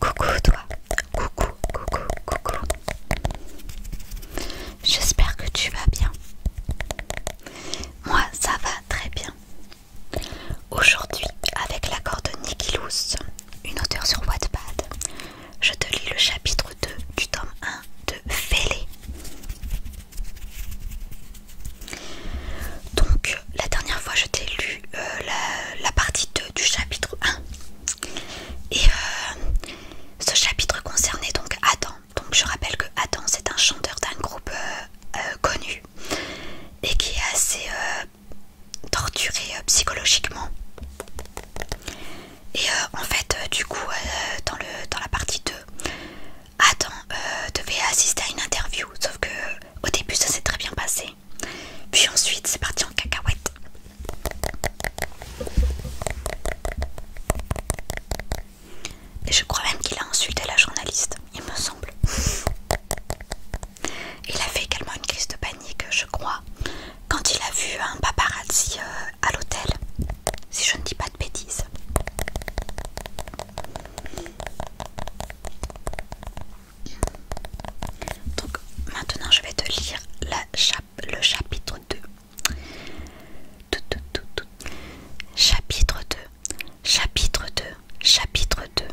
Coucou toi, coucou, coucou, coucou. J'espère que tu vas bien. Moi, ça va très bien. Aujourd'hui, avec l'accord de Nikilous, une auteure sur Wattpad. Je te lis le chapitre 2 du tome 1 de Félé. Donc, la dernière fois, je t'ai lu euh, la, partie 2 du chapitre 1. Et euh, ce chapitre concernait donc Adam. Donc, je rappelle que Adam, c'est un chanteur d'un groupe euh, connu et qui est assez euh, torturé euh, psychologiquement. Et euh, en fait, du coup, dans, le, dans la partie 2, Adam devait assister à une interview, sauf que au début ça s'est très bien passé. Puis ensuite, c'est parti en cacahuète. Et je crois même qu'il a insulté la journaliste, il me semble. Il a fait également une crise de panique, je crois, quand il a vu un paparazzi euh, à l'hôtel, si je ne dis pas de bêtises. Donc maintenant je vais te lire le chapitre 2. Chapitre 2. Chapitre 2. Chapitre 2.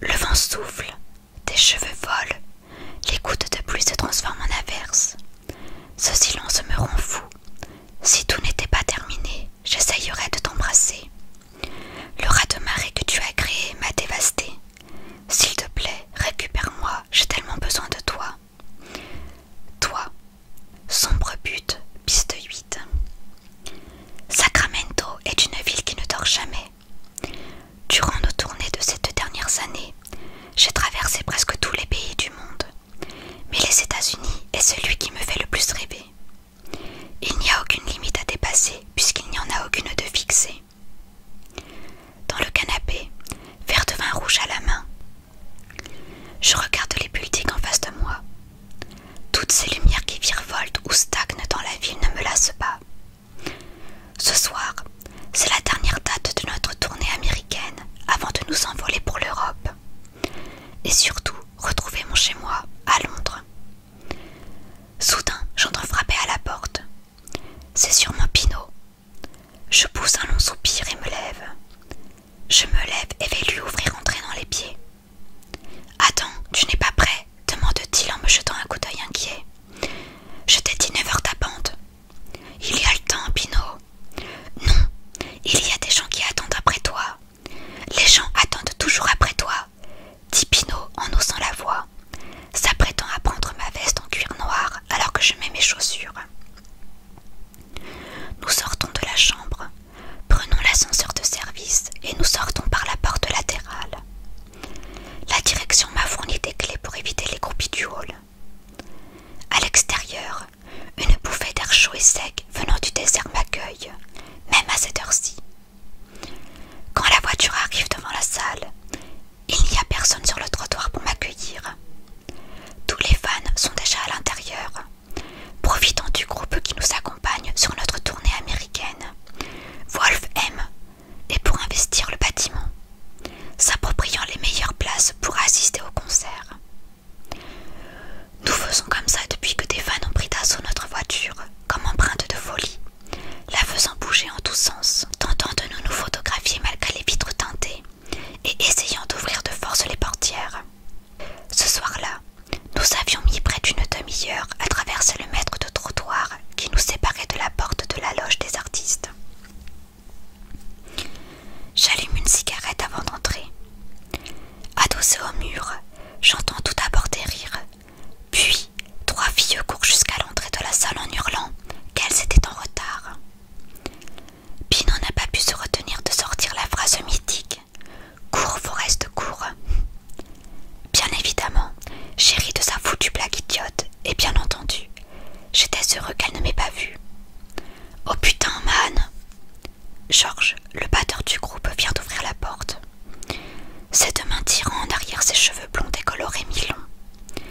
Le vent souffle, tes cheveux volent, les gouttes de pluie se transforment en averse. Ce silence me rend fou. Si tout n'était pas terminé, j'essayerais de t'embrasser. Le rat de marée que tu as créé m'a dévasté. S'il te plaît, récupère-moi, j'ai tellement besoin de toi. Toi, sombre but, piste 8. Sacramento est une ville qui ne dort jamais. Durant nos tournées de ces deux dernières années, j'ai traversé presque tous les pays du monde, mais les États-Unis est celui qui me fait le plus rêver. Il n'y a aucune limite à dépasser puisqu'il n'y en a aucune de fixée. Dans le canapé, verre de vin rouge à la main, je regarde les politiques en face de moi. Toutes ces lumières qui virevoltent ou stagnent dans la ville ne me lassent pas. Ce soir, c'est la dernière date de notre tournée américaine avant de nous envoler pour l'Europe. Et surtout, retrouver mon chez-moi à Londres. Soudain, j'entends frapper à la porte. C'est sûrement Pinot. Je pousse un long soupir et me lève. Je me lève et vais lui ouvrir entrer dans les pieds. Attends, tu n'es pas prêt demande-t-il en me jetant un coup d'œil inquiet. Je t'ai dit neuf heures bande. Il y a le temps, Pinot. Non, il y a des gens qui attendent après toi. Les gens attendent toujours après toi, dit Pinot en haussant la voix, s'apprêtant à prendre ma veste en cuir noir alors que je mets mes chaussures. Nous sortons de la chambre, prenons l'ascenseur de service et nous sortons par la porte latérale. La direction m'a fourni des clés pour éviter les groupies du hall. À l'extérieur, une bouffée d'air chaud et sec venant du désert m'accueille, même à cette heure-ci. Quand la voiture arrive devant la salle, il n'y a personne sur le trottoir pour m'accueillir. Tous les fans sont déjà à l'intérieur, profitant du groupe qui nous accompagne sur notre tournée américaine, Wolf M et pour investir le bâtiment, s'appropriant les meilleures places pour assister au concert. Nous faisons comme ça depuis que des fans ont pris d'assaut notre voiture, comme empreinte de folie, la faisant bouger en tous sens, tentant de nous nous photographier malgré les vitres teintées et essayant d'ouvrir de force les portières. Ce soir-là, nous avions mis près d'une demi-heure à traverser le mètre de trottoir qui nous séparait de la porte de la loge des artistes. J'allume une cigarette avant d'entrer. Adossé au mur, j'entends tout d'abord des rires. Puis, trois filles courent jusqu'à l'entrée de la salle en hurlant qu'elles étaient en retard. Pinon n'a pas pu se retenir de sortir la phrase mythique Cours, Foreste, cours. Bien évidemment, j'ai ri de sa foutue blague idiote, et bien entendu, j'étais heureux qu'elle ne m'ait pas vu. Oh putain, man! Georges, le batteur du groupe, vient d'ouvrir la porte. Ses deux mains tirant en arrière ses cheveux blonds décolorés mi-longs.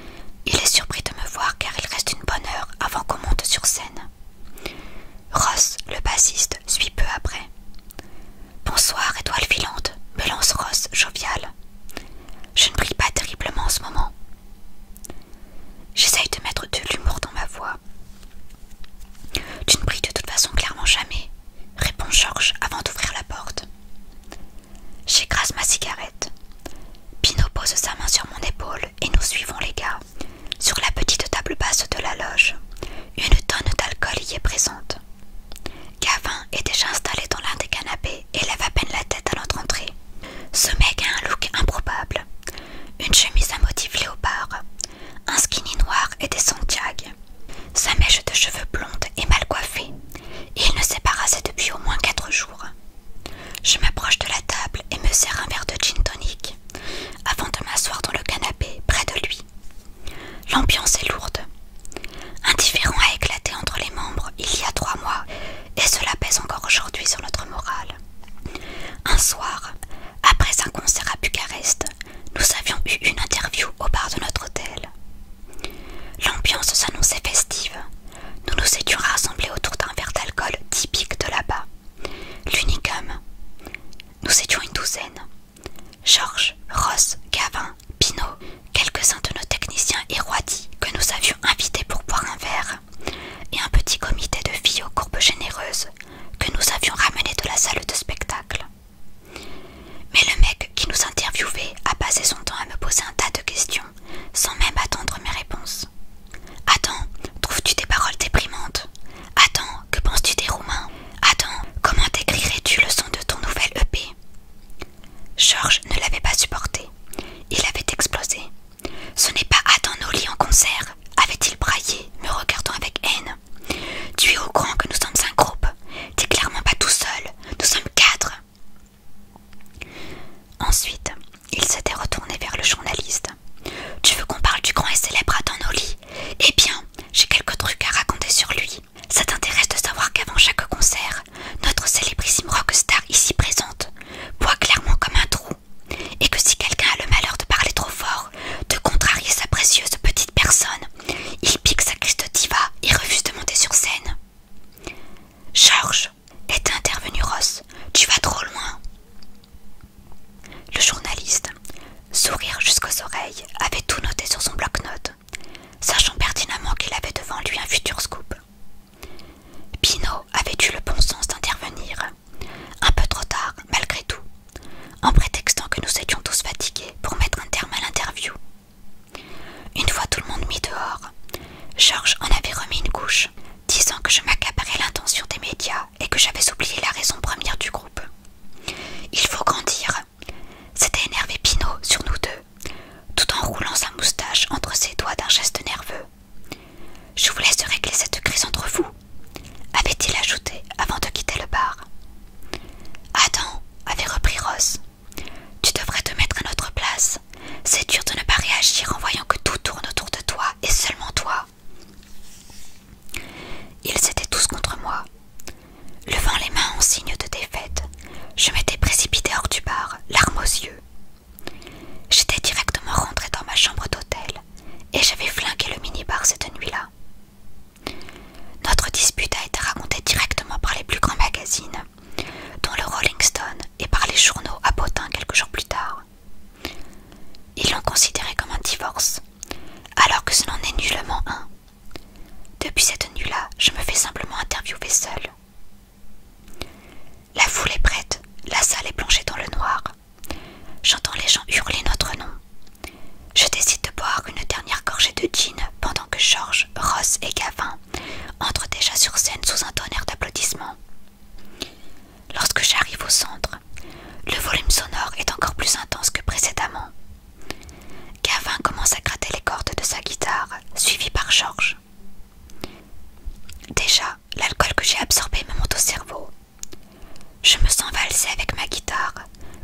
Il est surpris de me voir car il reste une bonne heure avant qu'on monte sur scène. Ross, le bassiste, suit peu après. Bonsoir, étoile filante, me lance Ross, jovial. Je ne brille pas terriblement en ce moment. J'essaye de mettre de l'humour dans ma voix. Tu ne brilles de toute façon clairement jamais, répond Georges avant d'ouvrir la porte. J'écrase ma cigarette. Pino pose sa main sur mon épaule et nous suivons les gars, sur la petite table basse de la loge. Une tonne d'alcool y est présente. Gavin est déjà installé dans l'un des canapés et lève à peine la tête à notre entrée. Ce mec a un look improbable. Une chemise à motif léopard, un skinny noir et des Santiago. Sa mèche de cheveux blondes est mal coiffée et il ne s'est pas rasé depuis au moins quatre jours. Je m'approche de la table et me sers un verre de gin tonic avant de m'asseoir dans le canapé près de lui. L'ambiance est lourde. Un a éclaté entre les membres il y a trois mois et cela pèse encore aujourd'hui sur notre morale. Un soir, après un concert à Bucarest, nous avions eu une interview au bar de notre hôtel. L'ambiance s'annonçait festive. Nous nous étions rassemblés autour d'un verre d'alcool typique de là-bas. L'unicum. Nous étions une douzaine. Georges, Ross, Gavin, Pinault, quelques-uns de nos techniciens et que nous avions invités pour boire un verre, et un petit comité de filles aux courbes généreuses que nous avions ramené de la salle de spectacle. Mais le mec qui nous interviewait a passé son temps à me poser un tas de questions, sans même attendre mes réponses. Attends, trouves-tu des paroles déprimantes « Adam, que penses-tu des Roumains Attends, comment décrirais-tu le son de ton nouvel EP Georges ne l'avait pas supporté. Il avait explosé. Ce n'est pas Adam Noli en concert, avait-il braillé, me regardant avec haine. Tu es au grand que nous sommes un groupe. T'es clairement pas tout seul. Nous sommes quatre. Ensuite, il s'était retourné vers le journaliste. Tu veux qu'on parle du grand et célèbre Adam Noli Eh bien, j'ai quelques trucs à raconter sur lui. Ça t'intéresse de savoir qu'avant chaque concert, notre célébrissime rockstar ici présente boit clairement comme un trou, et que si quelqu'un a le malheur de parler trop fort, de contrarier sa précieuse petite personne, il pique sa criste diva et refuse de monter sur scène. George !» est intervenu Ross, tu vas trop loin. Le journaliste, sourire jusqu'aux oreilles, avait tout noté sur son bloc-notes, sachant pertinemment qu'il avait devant lui un futur scoop. Pinault avait eu le bon sens d'intervenir, un peu trop tard malgré tout, en prétextant que nous étions tous fatigués pour mettre un terme à l'interview. Une fois tout le monde mis dehors, Georges en avait remis une couche, disant que je m'accaparais l'intention des médias et que j'avais oublié la raison première du groupe. Il faut grandir, c'était énervé Pinot sur nous deux, tout en roulant sa moustache entre ses doigts d'un geste nerveux. Je vous laisse régler cette crise entre vous, avait-il ajouté avant de quitter le bar. Adam, avait repris Ross, tu devrais te mettre à notre place. C'est dur de ne pas réagir en voyant que tout tourne autour de toi et seulement toi. Ils étaient tous contre moi. Levant les mains en signe de défaite, je m'étais précipité hors du bar, larmes aux yeux. J'étais directement rentré dans ma chambre d'hôtel et j'avais flingué le minibar cette nuit-là. Notre dispute a été racontée directement par les plus grands magazines, dont le Rolling Stone et par les journaux à Potin quelques jours plus tard. Ils l'ont considéré comme un divorce, alors que ce n'en est nullement un. Depuis cette nuit-là, je me fais simplement interviewer seule. La foule est prête, la salle est plongée dans le noir. J'entends les gens hurler notre nom. Je décide de boire une dernière gorgée de gin pendant que George, Ross et Gavin entrent déjà sur scène sous un tonnerre d'applaudissements. Lorsque j'arrive au centre, le volume sonore est encore plus intense que précédemment. Gavin commence à gratter les cordes de sa guitare, suivi par George. Déjà, l'alcool que j'ai absorbé me monte au cerveau. Je me sens valser avec ma guitare,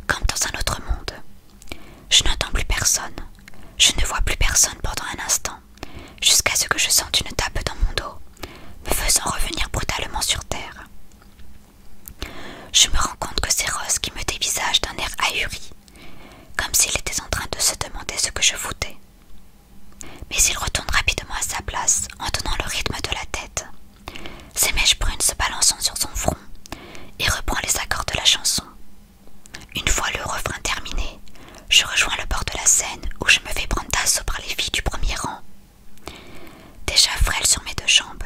comme dans un autre monde. Je n'entends plus personne. Je ne vois plus personne pendant un instant, jusqu'à ce que je sente une tape dans mon dos, me faisant revenir brutalement sur terre. Je me rends compte que c'est Rose qui me dévisage d'un air ahuri, comme s'il était en train de se demander ce que je voulais. Mais il retourne rapidement à sa place en donnant le rythme de la tête, ses mèches brunes se balançant sur son front, et reprend les accords de la chanson. Une fois le refrain terminé, je rejoins le bord de la scène où je me fais prendre d'assaut par les filles du premier rang Déjà frêle sur mes deux jambes,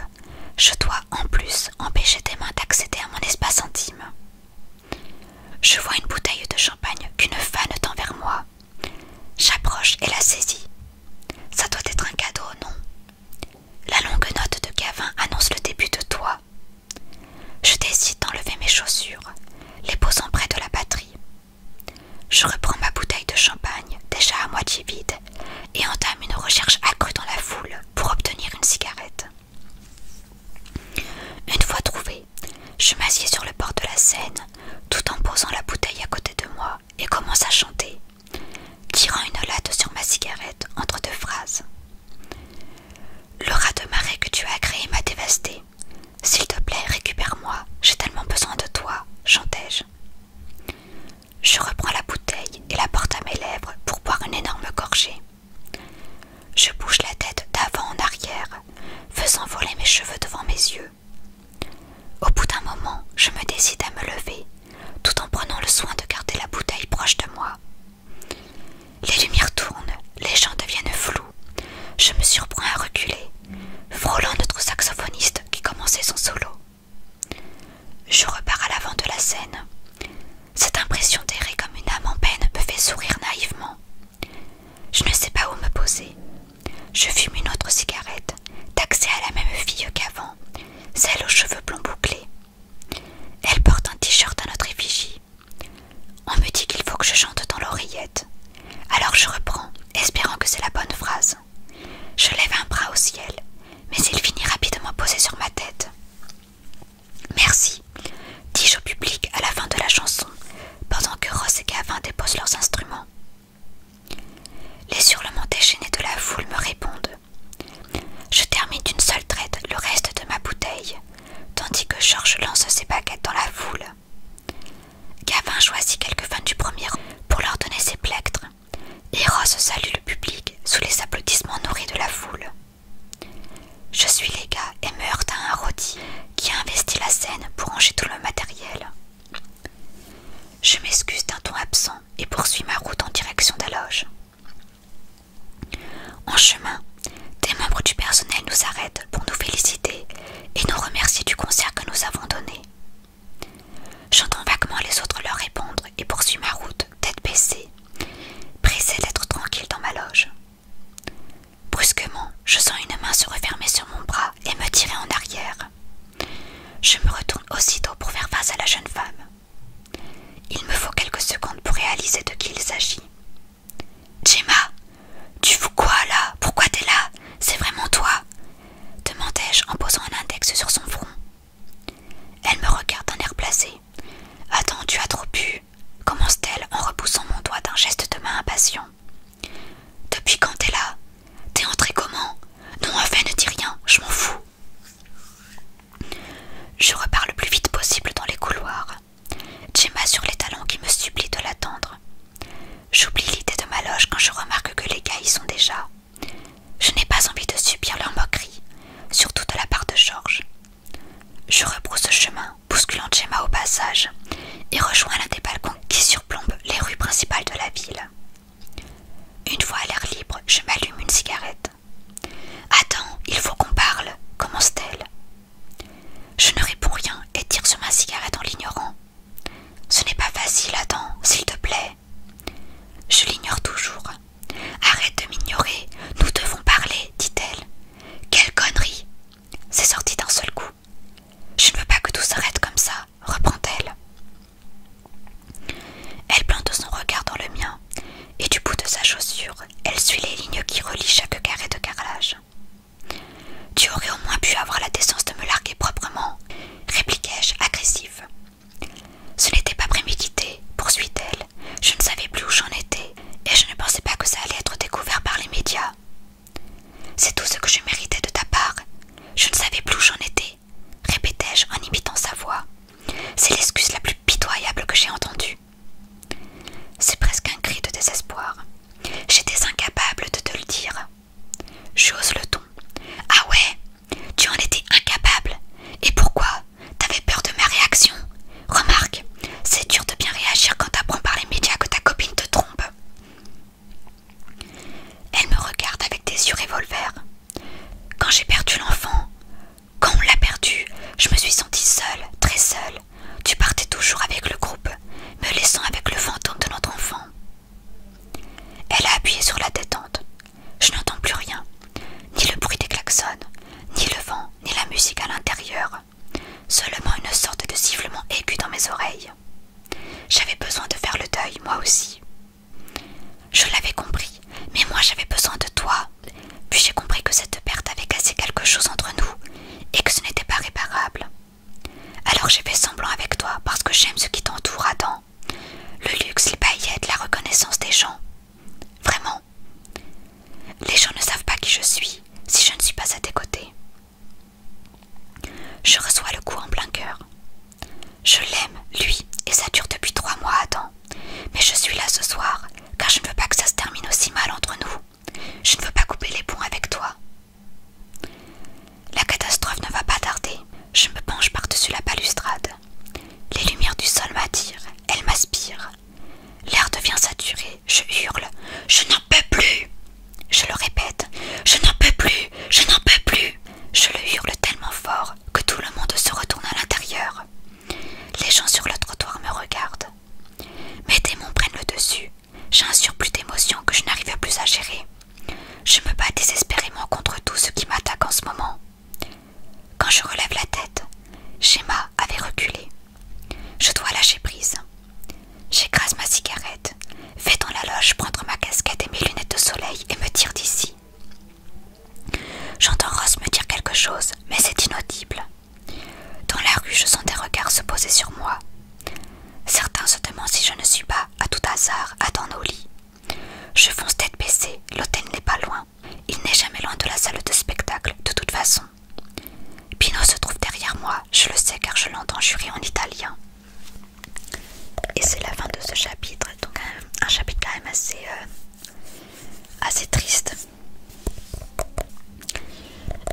je dois en plus empêcher tes mains d'accéder à mon espace intime. Je vois une bouteille de champagne qu'une femme tend vers moi. J'approche et la saisis. Ça doit être un cadeau, non La longue note de Gavin annonce le début de toi. Je décide d'enlever mes chaussures, les posant près de la batterie. Je reprends ma bouteille de champagne, déjà à moitié vide, et entame une recherche accrue dans la foule pour obtenir une cigarette. Une fois trouvée, je m'assieds sur le bord de la Seine tout en posant la bouteille à côté de moi et commence à chanter, tirant une latte sur ma cigarette entre deux phrases. Le rat de marée que tu as créé m'a dévasté. S'il te plaît, récupère-moi, j'ai tellement besoin de toi, chantais-je. Je reprends la bouteille et la porte à mes lèvres pour boire une énorme gorgée. Je bouge la tête d'avant en arrière, faisant voler mes cheveux devant mes yeux. Au bout d'un moment, je me décide à me lever, tout en prenant le soin de garder la bouteille proche de moi. Les lumières tournent, les gens deviennent flous. Je me surprends à reculer, frôlant notre saxophoniste qui commençait son solo. Je repars à l'avant de la scène. Cette impression d'errer comme une âme en peine me fait sourire naïvement. Je ne sais pas où me poser. Je fume une autre cigarette, taxée à la même fille qu'avant, celle aux cheveux blonds bouclés. Elle porte un t-shirt à notre effigie. On me dit qu'il faut que je chante dans l'oreillette. Alors je reprends, espérant que c'est la bonne phrase. Je lève un bras au ciel, mais il finit rapidement posé sur ma tête. Merci, dis-je au public à la fin de la chanson, pendant que Ross et Gavin déposent leurs instruments. Les hurlements déchaînés de la foule me répondent. Je termine d'une seule traite le reste de ma bouteille, tandis que Georges lance ses baguettes dans la foule. Gavin choisit quelques vins du premier rang pour leur donner ses plectres, Eros salue le public sous les applaudissements nourris de la foule. Je suis les gars et meurt à un rôti qui a investi la scène pour ranger tout le matériel. Je m'excuse d'un ton absent et poursuis ma route en direction de la loge. En chemin, des membres du personnel nous arrêtent pour nous féliciter et nous remercier du concert que nous avons donné. J'entends vaguement les autres leur répondre et poursuis ma route, tête baissée, pressée d'être tranquille dans ma loge. Brusquement, je sens une main se refermer sur mon bras et me tirer en arrière. Je me retourne aussitôt pour faire face à la jeune femme. Il me faut quelques secondes pour réaliser de qui il s'agit. Gemma, tu fous quoi là Pourquoi t'es là C'est vraiment toi demandai-je en posant un index sur son front. Elle me regarde d'un air placé. Attends, tu as trop bu, commence-t-elle en repoussant mon doigt d'un geste de main impatient. Depuis quand t'es là T'es entré comment Non, fait, ne dis rien, je m'en fous. Je repars le plus vite possible dans les couloirs. Gemma sur les talons qui me supplie de l'attendre. J'oublie l'idée de ma loge quand je remarque que les gars y sont déjà. Je n'ai pas envie de subir leurs moqueries, surtout de la part de Georges. Je rebrousse chemin, bousculant Gemma au passage, et rejoins l'un des balcons qui surplombent les rues principales de la ville. Une fois à l'air libre, je m'allume une cigarette. Attends, il faut qu'on parle, commence-t-elle. Je ne réponds rien et tire sur ma cigarette en l'ignorant. Ce n'est pas facile, attends, s'il te plaît, je l'ignore toujours. Arrête de m'ignorer, nous devons parler, dit-elle. Quelle connerie C'est sorti d'un seul coup. Je ne veux pas que tout s'arrête comme ça, reprend-elle. Elle plante son regard dans le mien, et du bout de sa chaussure, elle suit les lignes qui relient chaque carré de carrelage. Tu aurais au moins pu avoir la décence de me larguer proprement, répliquai-je agressivement. Ce n'était pas prémédité, poursuit-elle. Je ne savais plus où j'en étais, et je ne pensais pas que ça allait être découvert par les médias. C'est tout ce que je méritais de ta part. Je ne savais plus où j'en étais, répétai-je en imitant sa voix. C'est l'excuse la plus pitoyable que j'ai entendue. C'est presque un cri de désespoir. J'étais incapable de te le dire. J'ose le ton. Ah ouais tu en étais incapable. Et pourquoi T'avais peur de ma réaction. Remarque, c'est dur de bien réagir quand t'apprends par les médias que ta copine te trompe. Elle me regarde avec des yeux revolvers. Quand j'ai perdu l'enfant, quand on l'a perdu, je me suis sentie seule, très seule. Tu partais toujours avec le groupe, me laissant avec le fantôme de notre enfant. Elle a appuyé sur la détente. Je n'entends plus rien, ni le bruit des klaxons, ni le vent, ni la musique à l'intérieur. Seulement une sorte de sifflement aigu dans mes oreilles. J'avais besoin de faire le deuil, moi aussi. Je l'avais compris, mais moi j'avais besoin de toi. Puis j'ai compris que cette perte avait cassé quelque chose entre nous et que ce n'était pas réparable. Alors j'ai fait semblant avec toi parce que j'aime ce qui t'entoure, Adam le luxe, les paillettes, la reconnaissance des gens. Vraiment. Les gens ne savent pas qui je suis si je ne suis pas à tes côtés. Je reçois le coup en plein cœur. Je l'aime, lui, et ça dure depuis trois mois à Mais je suis là ce soir, car je ne veux pas que ça se termine aussi mal entre nous. Je ne veux pas couper les ponts avec toi. La catastrophe ne va pas tarder. Je me penche par-dessus la balustrade. Les lumières du sol m'attirent, elles m'aspirent. L'air devient saturé, je hurle. Je n'en peux plus Je le répète. Je n'en peux plus Je n'en peux plus Je le hurle tellement fort que tout le monde se retourne à l'intérieur. Les gens sur le trottoir me regardent. Mes démons prennent le dessus. J'ai un surplus d'émotions que je n'arrive plus à gérer. Je me bats désespérément contre tout ce qui m'attaque en ce moment. Quand je relève la tête, Shema avait reculé. Je dois lâcher prise. J'écrase ma cigarette, Fais dans la loge prendre ma casquette et mes lunettes de soleil et me tire d'ici. J'entends Ross me dire quelque chose, mais c'est inaudible. Dans la rue, je sens des regards se poser sur moi. Certains se demandent si je ne suis pas à tout hasard, Dans au lit. Je fonce tête baissée, l'hôtel n'est pas loin. Il n'est jamais loin de la salle de spectacle, de toute façon. Pino se trouve derrière moi, je le sais car je l'entends jurer en italien. Et c'est la fin de ce chapitre, donc un, chapitre quand même assez, euh, assez triste.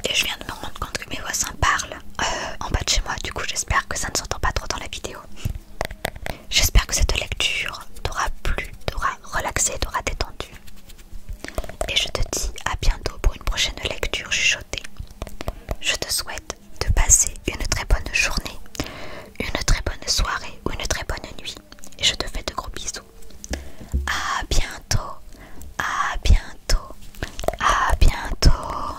Et je viens de me rendre compte que mes voisins parlent euh, en bas de chez moi, du coup j'espère que ça ne s'entend pas trop dans la vidéo. J'espère que cette lecture t'aura plu, t'aura relaxé, t'aura détendu. Et je te dis à bientôt pour une prochaine lecture chuchotée. Je te souhaite de passer une très bonne journée, une très bonne soirée ou une très bonne nuit. Et je te fais de gros bisous. A bientôt, à bientôt, à bientôt.